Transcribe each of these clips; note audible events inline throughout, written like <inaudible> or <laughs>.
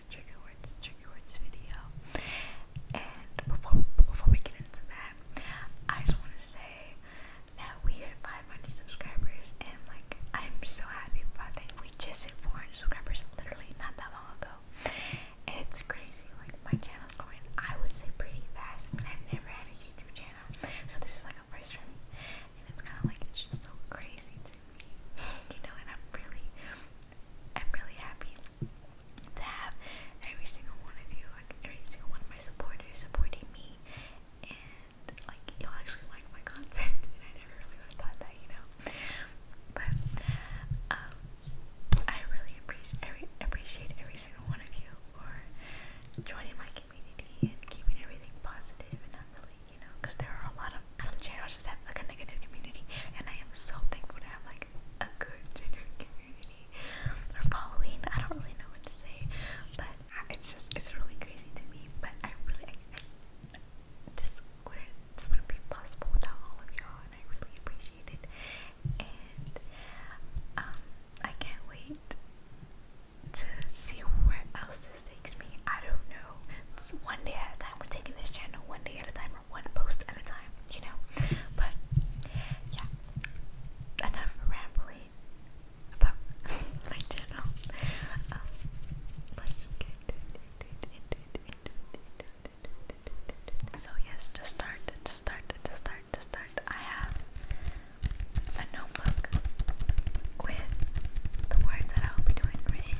words, words, trigger words video. And before before we get into that, I just want to say that we hit 500 subscribers, and like I'm so happy about that. We just hit 400 subscribers literally not that long ago. And it's crazy. Like my channel's growing, I would say pretty fast. I I've never had a YouTube channel, so this is like a first for me, and it's kind of like it's just so crazy to me, <laughs> you know. And I'm really I'm really happy to have every single one of you, like every single one of my supporters supporting me and like you'll actually like my <laughs> content and I never really thought that, you know. But um I really appreciate appreciate every single one of you for joining my community and keeping everything positive and not really, you know, because there are a lot of some channels just have like a negative community and I am so thankful to have like a good gender community or following. I don't really know what to say, but it's just it's really crazy to me. But I really this wouldn't this wouldn't be possible without all of y'all, and I really appreciate it. And um, I can't wait to see where else this takes me. I don't know. one day at a time. We're taking this channel one day at a time one post at a time, you know. But yeah, enough rambling about <laughs> my channel. Um, let's get so yes, to start, to start, to start, to start, I have a notebook with the words that I'll be doing written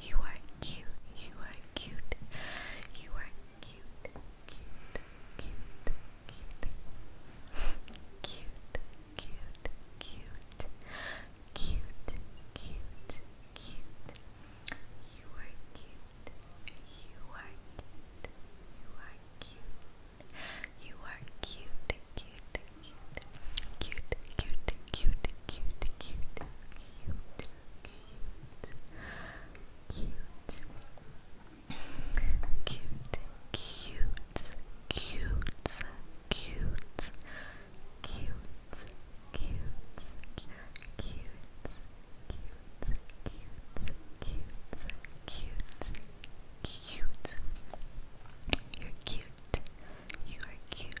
You are cute. You are cute. You are cute. Cute. Cute. Cute. Cute. Cute. Cute. Cute. Cute. Cute. You are cute. You are cute. You are cute. You are cute. Cute. Cute cute, cute, cute, cute, cute, cute, cute, cute, cute, cute, cute, cute, cute, cute, cute, cute, cute, cute, cute. You're cute. You are cute.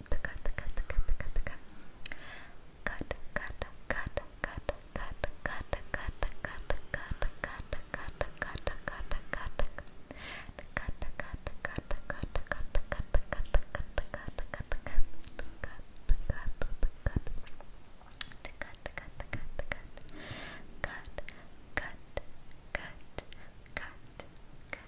cut, the cut, the cut, the cut, the cut, cut, cut, cut, cut, cut, cut, cut, cut, cut, cut, cut, cut, cut, cut, Cut, cut, cut, cut,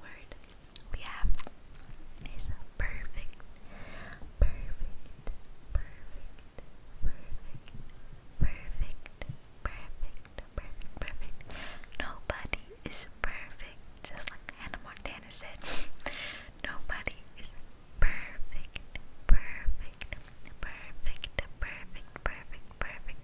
word we have is perfect, perfect, perfect, perfect, perfect, perfect, perfect, perfect. Nobody is perfect, just like Hannah Montana said. Nobody is perfect, perfect, perfect, perfect, perfect, perfect,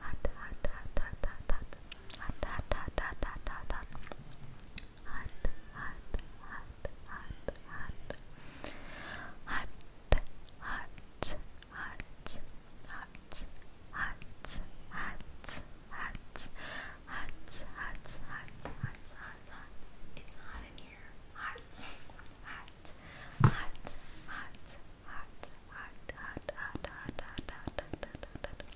hot, hot, hot, hot, hot, hot, hot, hot, hot, hot, hot, hot, hot. Hot, hot, hot, hot, hot. Hot, hot, hot, hot, hot, hot, hot, hot, hot, hot, hot, hot. It's hot in here. Hot, hot, hot, hot, hot, hot, hot, hot, hot, hot, hot, hot, hot, hot.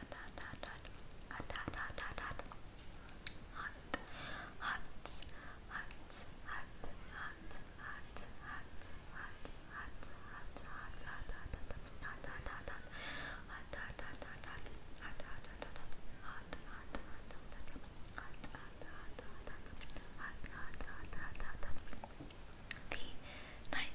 hot, hot, the ninth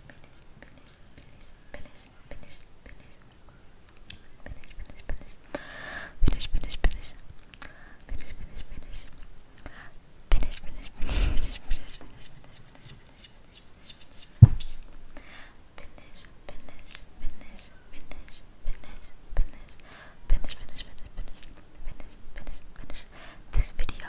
finish, finish, finish, finish this video